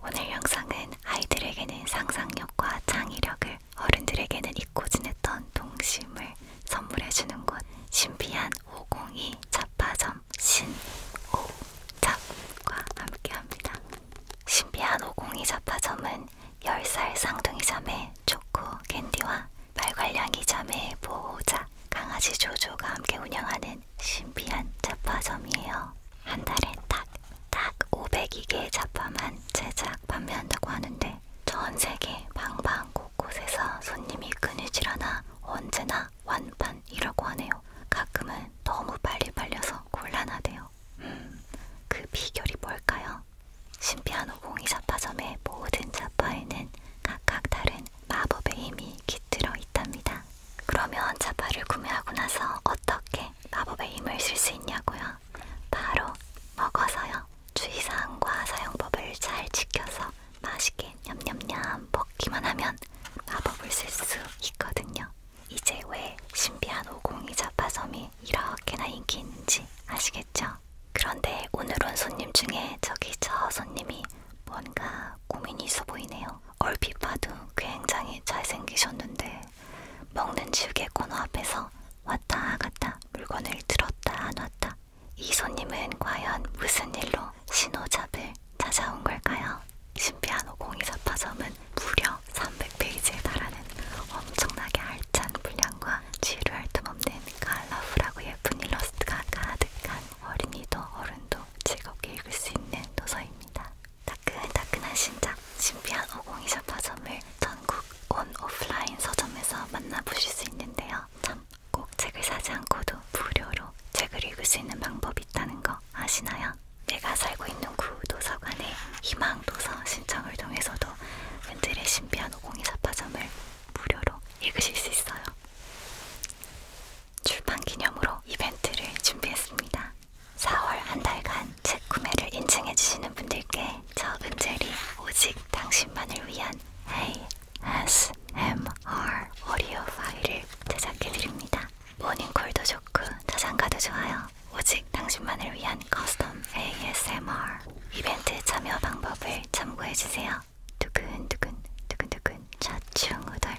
오늘 영상은 아이들에게는 상상력과 창의력을 어른들에게는 잊고 지냈던 동심을 선물해주는 곳 신비한 502 잡화점 신오잡과 함께합니다. 신비한 502 잡화점은 10살 쌍둥이 자매 초코 캔디와 말괄량이 자매의 보호자 강아지 조조가 함께 운영하는 있는 신비한 잡화점이에요. 한 달에 딱 딱 502개의 잡화만 제작 판매한다고 하는데 전 세계 방방 곳곳에서 손님이 그늘질 않아 언제나 완판이라고 하네요. 가끔은 너무 빨리 팔려서 곤란하대요. 음, 그 비결이 뭘까요? 신비한 오공이 잡화점의 모든 잡화에는 각각 다른 마법의 힘이 깃들어 있답니다. 그러면 자파를 구매하고 나서 어떻게 마법의 힘을 쓸 수 있냐고요? 바로 먹어서요. 주의사항과 사용법을 잘 지켜서 맛있게 냠냠냠 먹기만 하면 마법을 쓸 수 있거든요. 이제 왜 신비한 오공이 자파섬이 이렇게나 인기 있는지 아시겠죠? 그런데 오늘 온 손님 중에 저기 저 손님이 뭔가 고민이 있어 보이네요. 얼핏 봐도 굉장히 잘생기셨는데 먹는 지우개 코너 앞에서 왔다 갔다 물건을 들었다 안 왔다 이 손님은 과연 무슨 일로 신호잡을 찾아온 걸까요? 신비한 502사 파점은 무려 300페이지에 달하는 엄청나게 알찬 분량과 지루할 틈 없는 갈라프라고 예쁜 일러스트가 가득한 어린이도 어른도 즐겁게 읽을 수 있는 도서입니다. 따끈따끈한 신작 신비한 오공이샵 서점을 전국 온 오프라인 서점에서 만나보실 수 있는데요. 참꼭 책을 사지 않고도 무료로 책을 읽을 수 있는 방법이 있다는 거 아시나요? 내가 살고 있는 구도서관의 희망도서 신청을 통해서도 웬들의 신비한 오공이샵 서점을 무료로 읽으실 수 있어요. 출판 기념으로 이벤트를 준비했습니다. 4월 한 달간 책 구매를 인증해주시는 분들께 저 은젤이 오직 당신만을 위한 ASMR 오디오 파일을 제작해드립니다. 모닝콜도 좋고 자장가도 좋아요. 오직 당신만을 위한 커스텀 ASMR 이벤트 참여 방법을 참고해주세요. 두근두근 두근두근 좌충우돌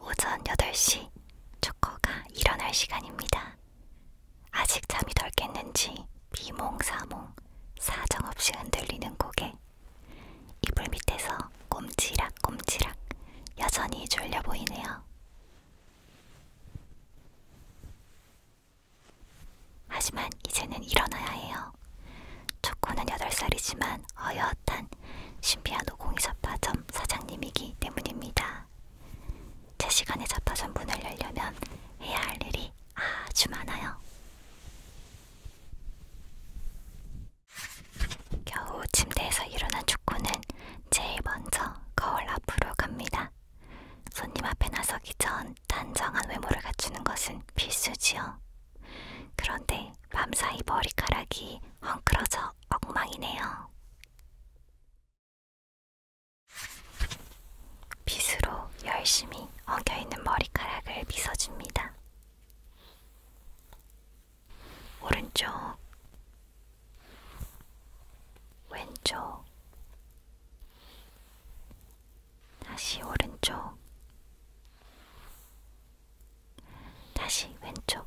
오전 8시 초코가 일어날 시간입니다. 아직 잠이 덜 깼는지 비몽사몽 사정없이 흔들리는 고개 이불 밑에서 꼼지락꼼지락 여전히 졸려 보이네요. 하지만 이제는 일어나야 해요. 초코는 8살이지만 어엿한 신비한 오공이 잡화점 사장님이기 때문입니다. 제 시간에 잡화점 문을 열려면 해야 할 일이 아주 많아요. 겨우 침대에서 일어난 초코는 제일 먼저 거울 앞으로 갑니다. 손님 앞에 나서기 전 단정한 외모를 갖추는 것은 필수지요. 그런데 밤사이 머리카락이 헝클어져 엉망이네요. 빗으로 열심히 엉겨있는 머리카락을 빗어줍니다. 오른쪽, 왼쪽, 다시 오른쪽, 다시 왼쪽,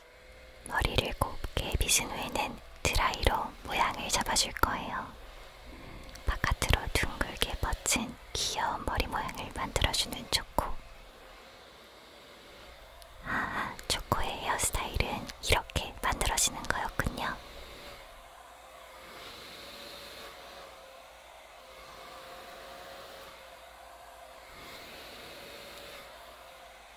머리를 곱게 빗은 후에는 드라이로 모양을 잡아줄 거예요. 바깥으로 둥글게 뻗친 귀여운 머리 모양을 만들어주는 초코. 아, 초코의 헤어스타일은 이렇게 만들어지는 거였군요.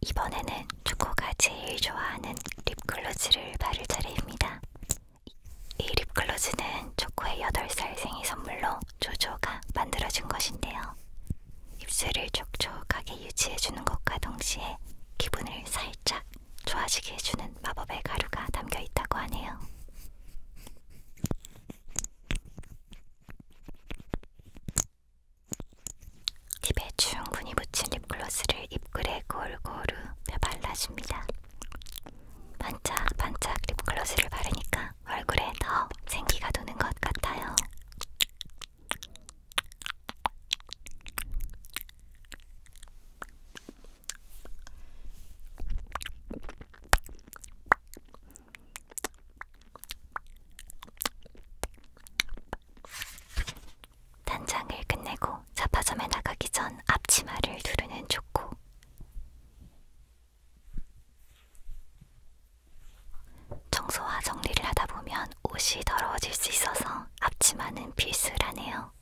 이번에는 초코가 제일 좋아하는 립글로즈를 바를 차례입니다. 이 립글로즈는 초코의 8살 생일 선물로 조조가 만들어준 것인데요. 입술을 촉촉하게 유지해주는 것과 동시에 기분을 살짝 좋아지게 해주는 마법의 가루가 담겨 있다고 하네요. 립에 주근이 묻힌 립글로스를 입글에 골고루 발라줍니다. 반짝반짝 립글로스를 바르니까 얼굴에 더 생기가 도는 것 같아요. 단장을 끝내고 자파점에 나가기 전 앞치마를 두르는 좋고 청소와 정리를 하다 보면 옷이 더러워질 수 있어서 앞치마는 필수라네요.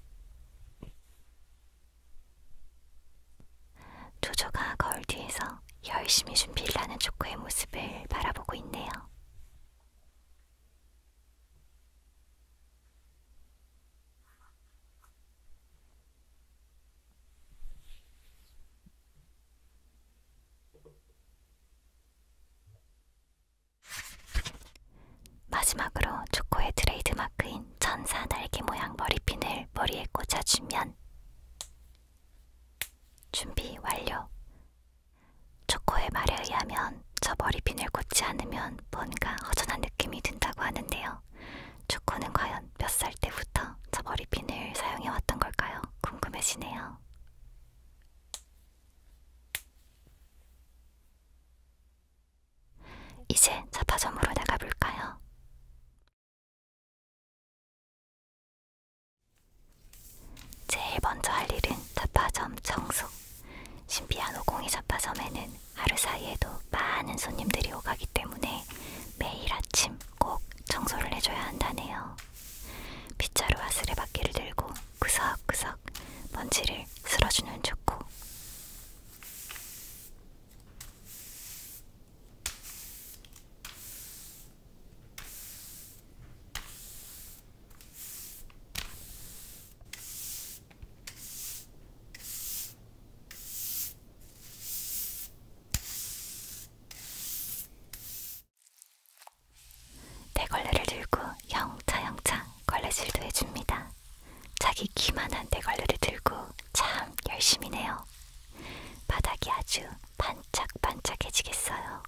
조조가 거울 뒤에서 열심히 준비일하는 조코의 모습을 바라보고 있네요. 마지막으로 초코의 트레이드마크인 천사 날개 모양 머리핀을 머리에 꽂아주면 준비 완료. 초코의 말에 의하면 저 머리핀을 꽂지 않으면 뭔가 허전한 느낌이 든다고 하는데요. 초코는 과연 몇 살 때부터 저 머리핀을 사용해왔던 걸까요? 궁금해지네요. 이제 자파점으로 나가볼까요? 제일 먼저 할 일은 자파점 청소. 신비한 오공이 자파점에는 하루 사이에도 많은 손님들이 오가기 때문에 매일 아침 꼭 청소를 해줘야 한다네요. 빗자루와 쓰레받기를 들고 구석구석 먼지를 쓸어주는 축구. 대걸레를 들고 영차영차 걸레질도 해줍니다. 자기 키만한 대걸레를 들고 참 열심히네요. 바닥이 아주 반짝반짝해지겠어요.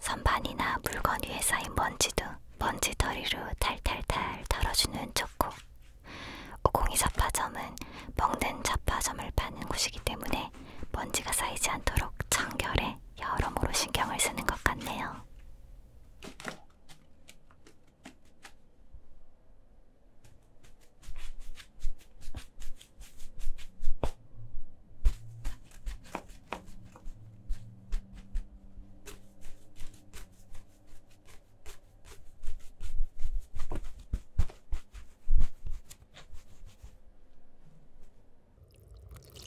선반이나 물건 위에 쌓인 먼지도 먼지더리로 탈탈탈 털어주는 초코. 오공이 잡화점은 먹는 잡화점을 파는 곳이기 때문에 먼지가 쌓이지 않도록 청결에 여러모로 신경을 쓰는 것 같네요.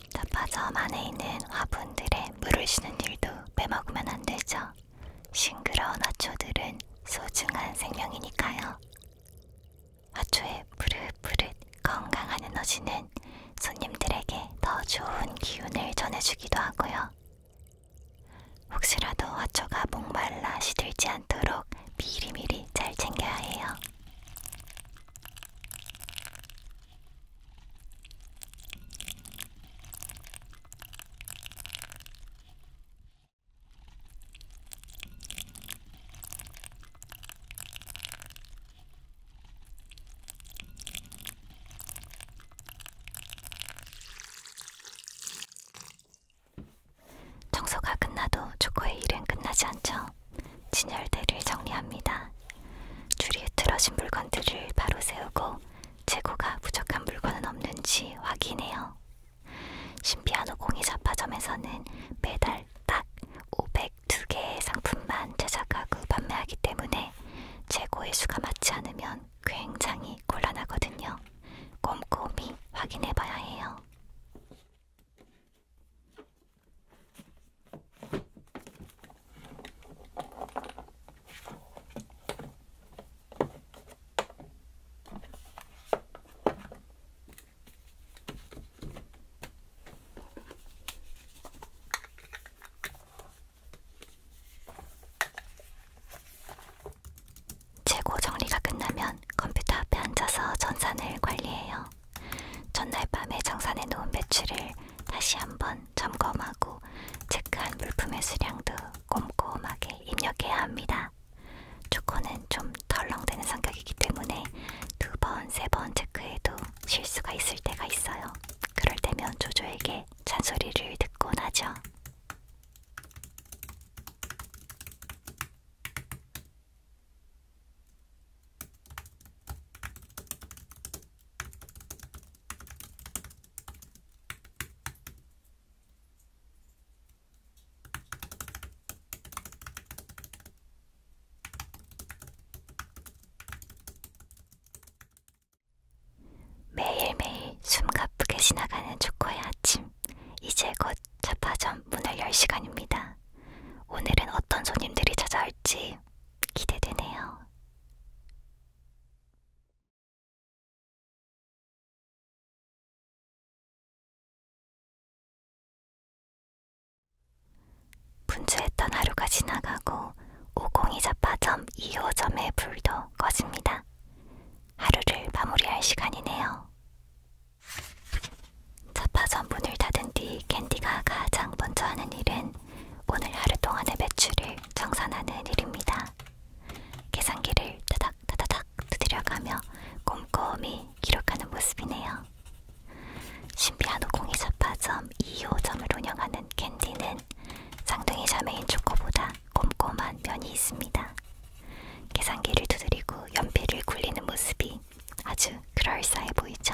자파점 안에 있는 화분들의 물을 쉬는 일도 빼먹으면 안 되죠. 싱그러운 화초들은 소중한 생명이니까요. 화초의 푸릇푸릇 건강한 에너지는 손님들에게 더 좋은 기운을 전해주기도 하고요. 혹시라도 화초가 목말라 시들지 않도록 미리미리 잘 챙겨야 해요. 청소가 끝나도 조코의 일은 끝나지 않죠. 진열대를 정리합니다. 줄이 틀어진 물건들을 바로 세우고 재고가 부족한 물건은 없는지 확인해요. 신비한 오공이 자파점에서는 매달 딱 502개의 상품만 제작하고 판매하기 때문에 재고의 수가 맞지 않으면 굉장히 곤란하거든요. 꼼꼼히 확인해봐야 해요. 재고 정리가 끝나면 컴퓨터 앞에 앉아서 전산을 관리해요. 전날 밤에 정산해 놓은 매출을 다시 한번 점검하고 체크한 물품의 수량도 꼼꼼하게 입력해야 합니다. 초코는 좀 덜렁대는 성격이기 때문에 두 번, 세 번 체크해도 실수가 있을 때가 있어요. 그럴 때면 조조에게 잔소리를 듣곤 하죠. 매일매일 숨 가쁘게 지나가는 초코의 아침. 이제 곧 자파점 문을 열 시간입니다. 오늘은 어떤 손님들이 찾아올지 기대되네요. 분주했던 하루가 지나가고 502자파점2호점의 불도 꺼집니다. 하루를 마무리할 시간이네요. 자파점 문을 닫은 뒤 캔디가 가장 먼저 하는 일은 오늘 하루 동안의 매출을 정산하는 일입니다. 계산기를 따닥 따닥 두드려가며 꼼꼼히 기록하는 모습이네요. 신비한 오공이사파점 2호점을 운영하는 캔디는 쌍둥이 자매인 초코보다 꼼꼼한 면이 있습니다. 계산기를 두드리고 연필을 굴리는 모습이 아주 그럴싸해 보이죠.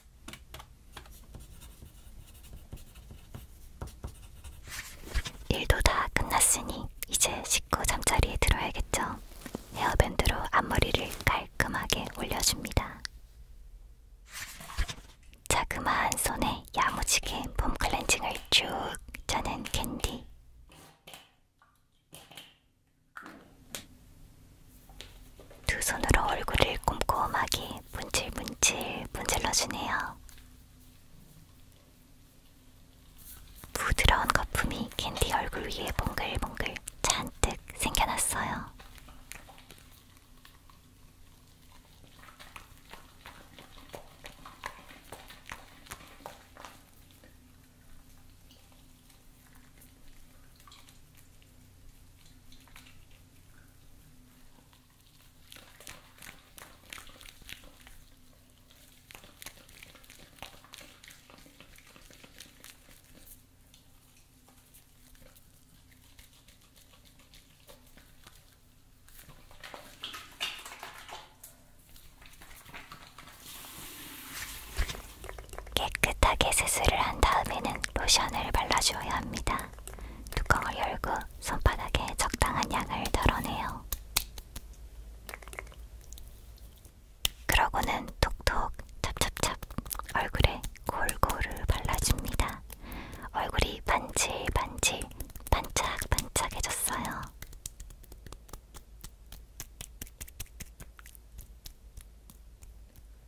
일도 다 끝났으니 이제 씻고 잠자리에 들어야겠죠. 헤어밴드로 앞머리를 깔끔하게 올려줍니다. 자그마한 손에 야무지게 폼 클렌징을 쭉 짜는 캔디. 두 손으로 얼굴을 꼼꼼하게 문질문질 문질러주네요. 부드러운 거품이 캔디 얼굴 위에 몽글몽글 잔뜩 생겨났어요. 깨끗하게 세수를 한 다음에는 로션을 발라줘야 합니다. 뚜껑을 열고 손바닥에 적당한 양을 덜어내요. 그러고는 톡톡 찹찹찹 얼굴에 골고루 발라줍니다. 얼굴이 반질반질 반짝반짝해졌어요.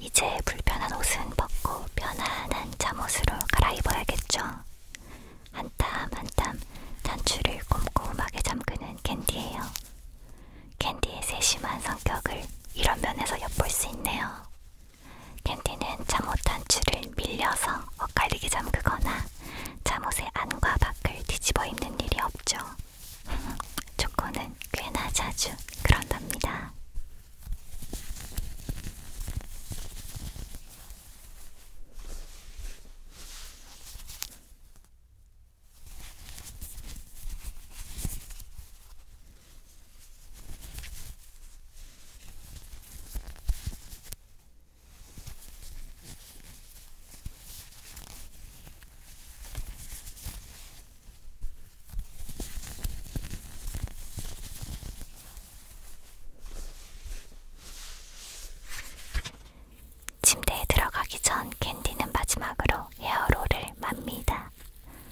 이제 불편한 옷은 벗고 편안한 잠옷으로 갈아입어야겠죠. 한땀한땀 단추를 꼼꼼하게 잠그는 캔디예요. 캔디의 세심한 성격을 이런 면에서 엿볼 수 있네요. 캔디는 잠옷한 줄을 밀려서 엇갈리게 잠그거나 잠옷의 안과 밖을 뒤집어 입는 일이 없죠. 초코는 꽤나 자주 그런답니다. 침대에 들어가기 전 캔디는 마지막으로 헤어롤을 맙니다.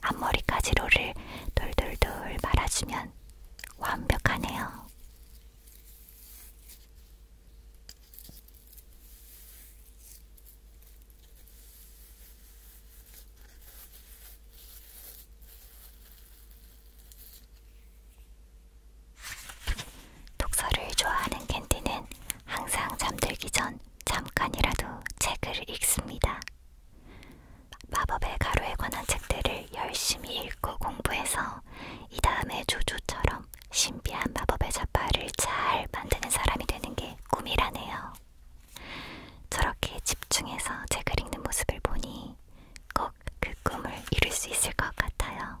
앞머리까지 롤을 돌돌돌 말아주면 완벽하네요. 독서를 좋아하는 캔디는 항상 잠들기 전 잠깐이라도 책을 읽습니다. 마법의 가루에 관한 책들을 열심히 읽고 공부해서 이 다음에 조조처럼 신비한 마법의 자파를 잘 만드는 사람이 되는 게 꿈이라네요. 저렇게 집중해서 책을 읽는 모습을 보니 꼭그 꿈을 이룰 수 있을 것 같아요.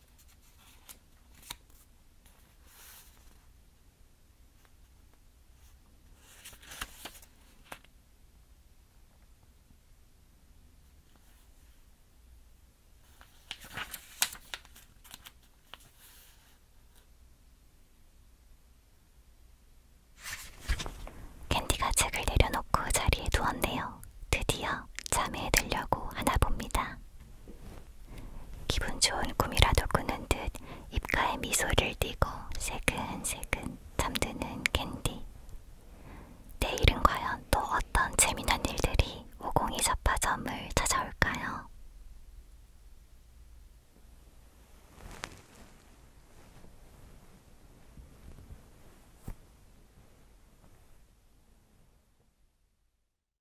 캔디가 책을 내려놓고 자리에 누웠네요. 드디어 잠에 들려고 하나 봅니다. 기분 좋은 꿈이라도 꾸는 듯 입가에 미소를 띠고 새근새근 잠드는 캔디. 내일은 과연 또 어떤 재미난 일들이 오공이 잡화점을 찾아올까요?